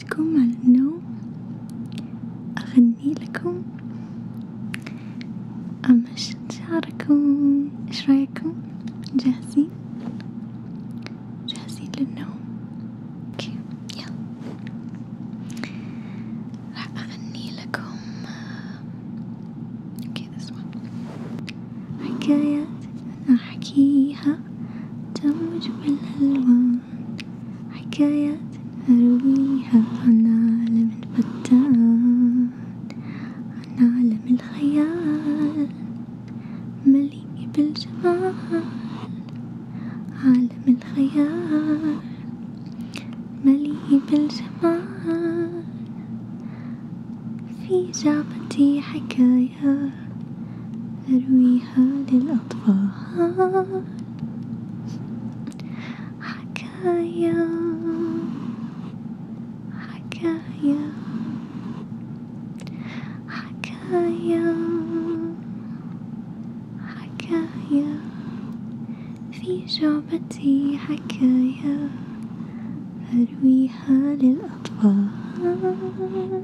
وقتكم على النوم أغني لكم أمشط شعركم إيش رأيكم جاهزين جاهزين للنوم أوكي يلا راح أغني لكم أوكي حكايات أحكيها تموج بالألوان حكايات أرويها عن عالم الفتان عن عالم الخيال مليء بالجمال عالم الخيال مليء بالجمال في جعبتي حكايات أرويها للأطفال حكاية حكايا حكايا حكايا في جعبتي حكايا أرويها للأطفال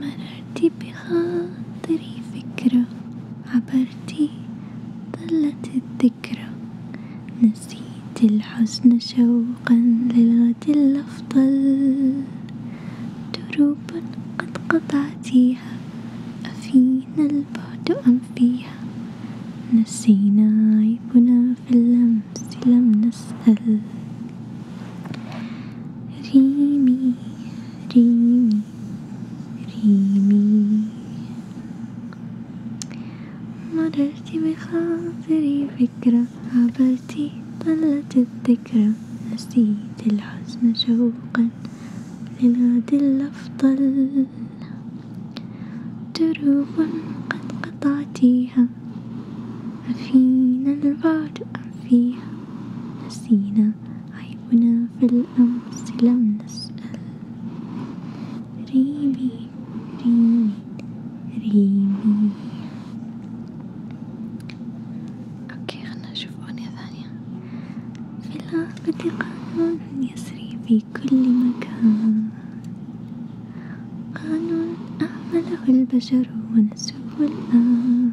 مررتي بخاطري فكرة عبرتي ظلت الذكرى نسيت الحزن شوقا للغد الأفضل دروبا قد قطعتيها أفينا البعد أم فيها نسينا عيبنا في اللمس لم نسأل ريمي ريمي ريمي مررت بخاطري فكرة عبرتي طلت الذكرى نسيت الحزن شوقا للغد الأفضل دروب قد قطعتيها أفينا البعد أم فيها نسينا عيبنا في الأمس لم نسأل ريمي ريمي ريمي أوكي خلنا نشوف أغنية ثانية في الغابة قانون يسري في كل مكان قانون أهمله البشر ونسوه الآن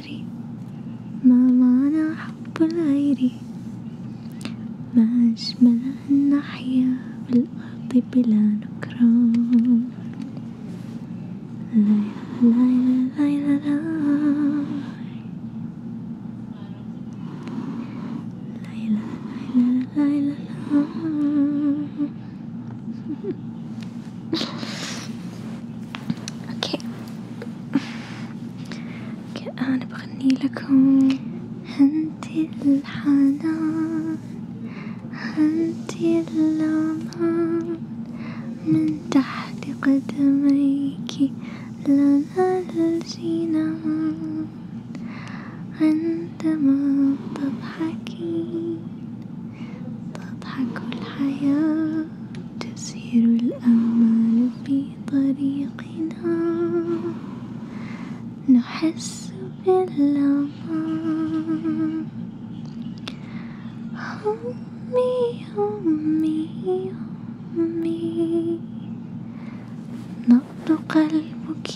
أدري ما معنى حب غيري ما أجمل أن نحيا بالأرض بلا نكران ليلى ليلى ليلى ليلى ليلى اوكي اوكي انا بغني لكم انتي الحنان انتي الامان من تحت قدميك لنا الجنان عندما تضحكين تضحك الحياة تسير الأمل في طريقنا نحس بالأمان أمي أمي أمي نبض قلبك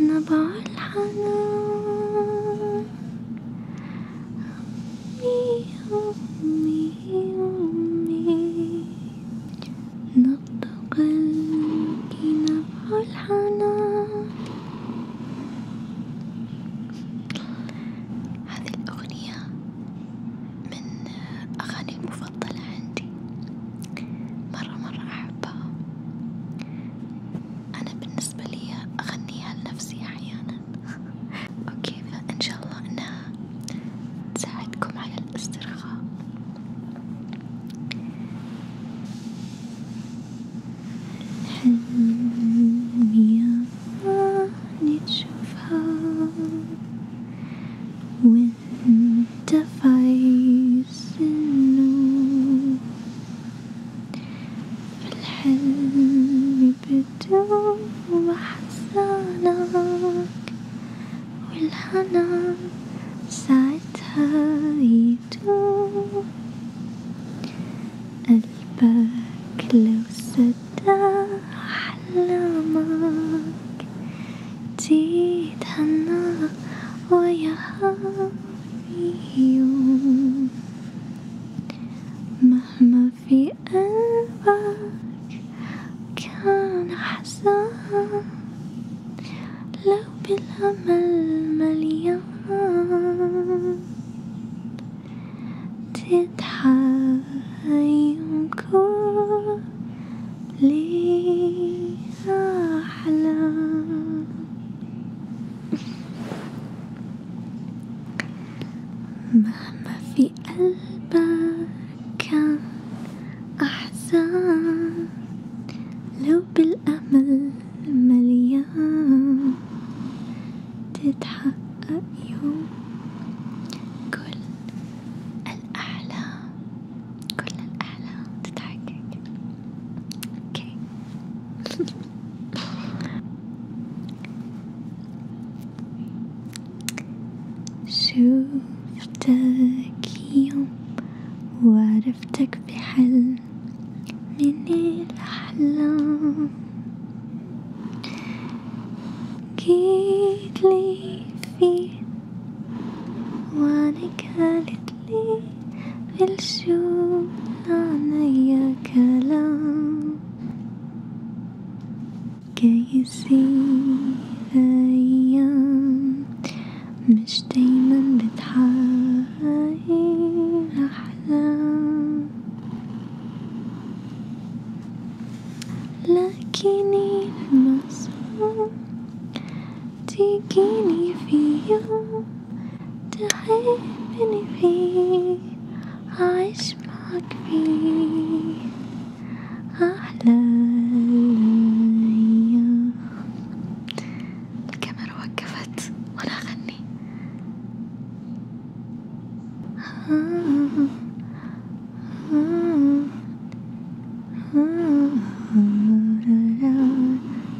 نبع الحنان أمي أمي أمي نبض قلبي نبع الحنان هذه الأغنية من أغاني المفضلة عندي مرة مرة أحبها أنا بالنسبة لي أغنيها لنفسي أحيانا أوكي فإن شاء الله أنها تساعدكم على الاسترخاء حلمي أني تشوفها وانت في عز النور الحلم بدوب أحزانك والحنان ساعتها يدوب قلبك لو صدق أحلامك تتهنى وياها يوم مهما في قلبك كان حزان لو بالأمل مليان تضحك يوم كل أحلام مهما في قلبك كان أحزان لو بالأمل مليان تتحقق يوم كل الأحلام كل الأحلام تتحقق اوكي شوفتك يوم وعرفتك بحلم من الأحلام جيت لي فيه وأنا كانت لي في الشوق عنيا كلام كي يصير أيام مش دايما بتحقق أحلام لكن المصاب تجيني في يوم تحبني فيه أعيش معاك فيه أحلى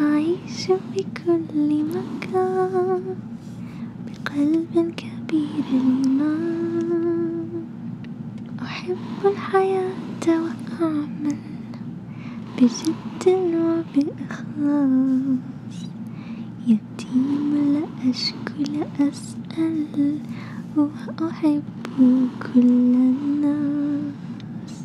أعيش في كل مكان بقلب كبير الإيمان أحب الحياة وأعمل بجد وبإخلاص يتيم لا أشكو لا أسأل وأحب كل الناس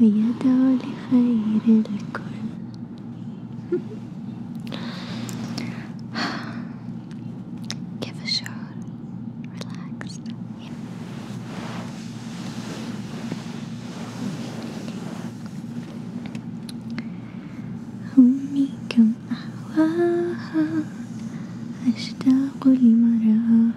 ويدعو لخير الكل كيف الشعور؟ ريلاكس أمي كم أهواها أشتاق لمراها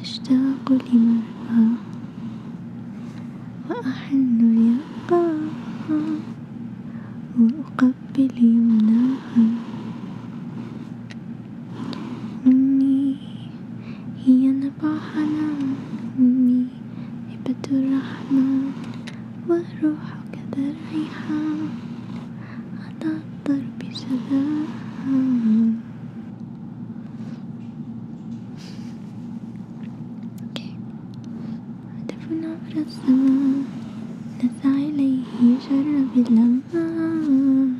أشتاق لماها وأحن لقاها وأقبل يمناها أمي هي نبع حنان أمي هبة الرحمن وروحك ذا الريحان على الطرب سداها هدف عبر الزمان نسعى إليه شر بالأمان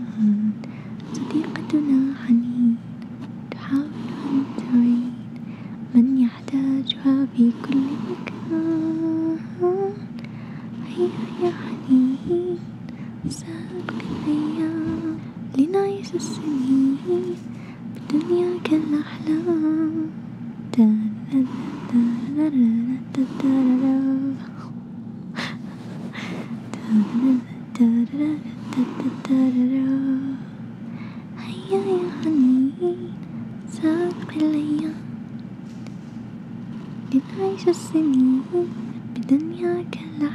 صديقتنا حنين تحاول أن تعين من يحتاجها في كل مكان هيا يا حنين نساء الأيام لنعيش السنين بالدنيا كالأحلام هيا يا حنين سابق الأيام لنعيش السنين بدنيا كالأحلام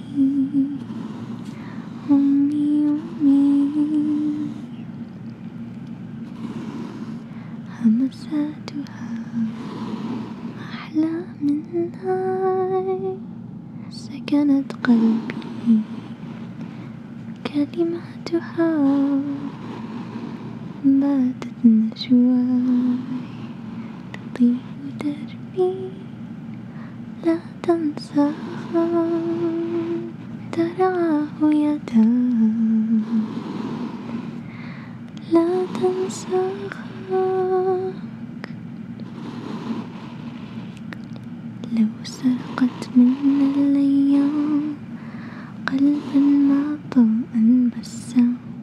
أمي أمي همساتها أحلى من نار سكنت قلبي كلماتها باتت نجواي تطيب دربي عني لا تنسى ترعاه يدا لا تنسى لو سرقت منا الأيام قلبا ما طمأن بسام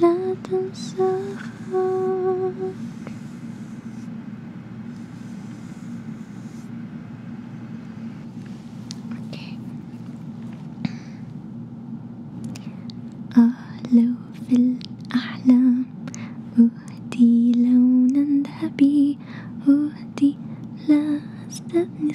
لا تنسى لو في الأحلام أهدي لونا ذهبي أهدي لا أستثني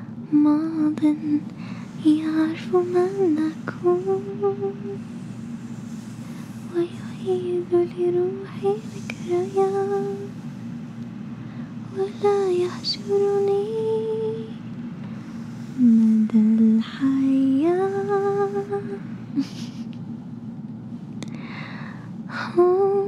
ماض يعرف ما نكون ويعيد لروحي ذكريات ولا يحشرني مدى الحياة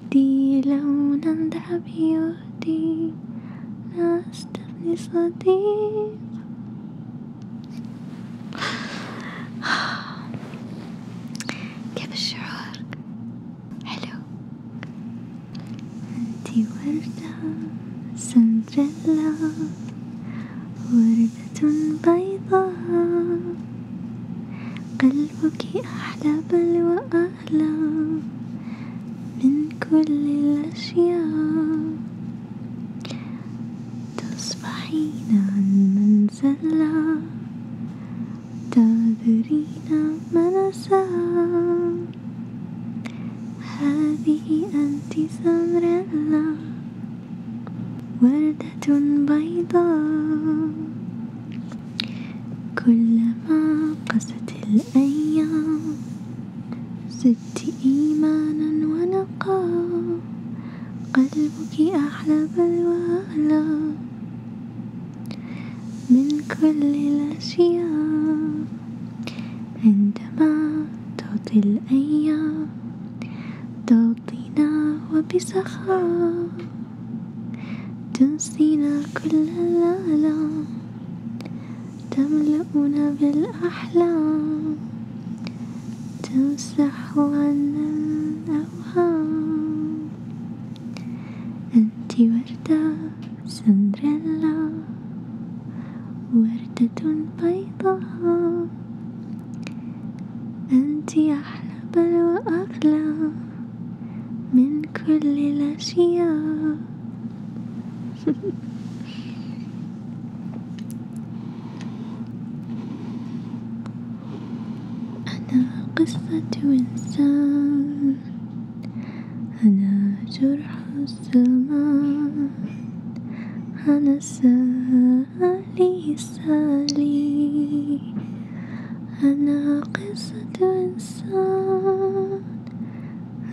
يهدي لونا ذهب يهدي لا استبني صديق كيف الشعور؟ حلو انتي وردة سندريلا وردة بيضاء قلبك أحلى بل وأحلى أعلى من كل الأشياء تصبحين عن منزلة تعذرين من أساء هذه أنت سمريلا وردة بيضاء كلما قست الأيام زدت إيمانا ونقا قلبك أحلى بلوى ألا من كل الأشياء عندما تعطي الأيام تعطينا وبسخاء تنسينا كل الآلام تملؤنا بالأحلام تمسح عنا الأوهام أنت وردة سندريلا وردة بيضاء أنت أحلى بل وأغلى من كل الأشياء أنا قصة إنسان أنا جرح الزمان أنا سالي سالي أنا قصة إنسان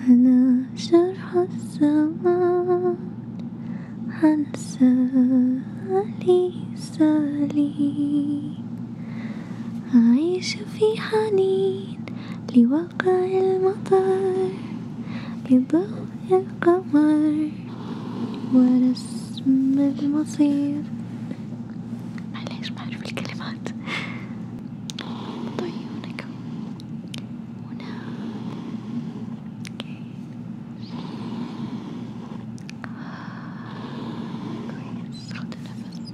أنا جرح الزمان عن سالي سالي أعيش في حنين لواقع المطر لضوء القمر ورسم المصير معليش بعرف الكلمات طيونك هنا كويس خد نفس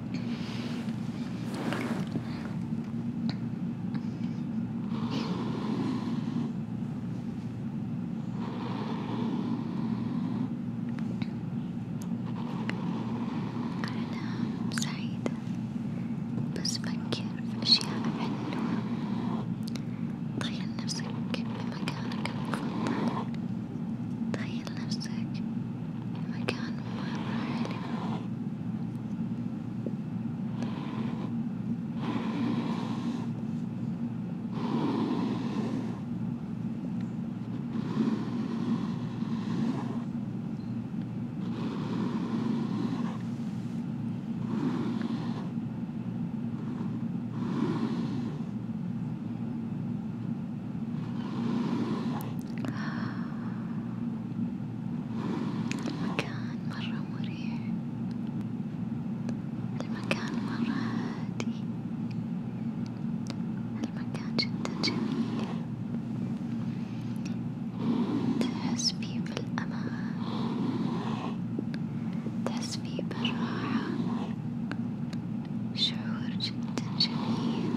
أنا سعيدة بس بنكر في أشياء حلوة، تخيل نفسك بمكانك المفضل، تخيل نفسك I can't move right now. I المكان مرة مريح المكان مرة هادي المكان جدا جميل تحس فيه بالأمان تحس فيه بالراحة شعور جدا جميل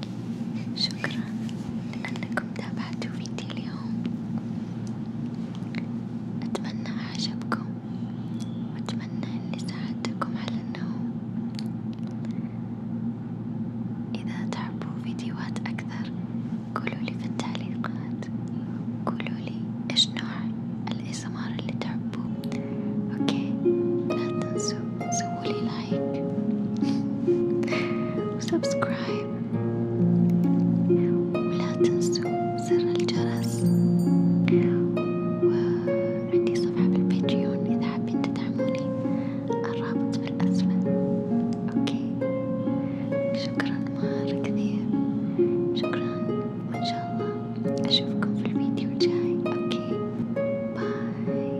شكرا لأنكم تابعتوا فيديو اليوم أتمنى أعجبكم وأتمنى أني ساعدتكم على النوم إذا تحبوا فيديوهات أكثر قولوا لي في التعليقات قولوا لي إيش نوع الإسمار اللي تحبوه أوكي لا تنسوا سوولي لايك وسبسكرايب ولا تنسوا زر الجرس وعندي صفحة بالباتريون إذا حابين تدعموني الرابط في الأسفل أوكي شكرا مرة كثير شكرا وإن شاء الله أشوفكم في الفيديو الجاي أوكي باي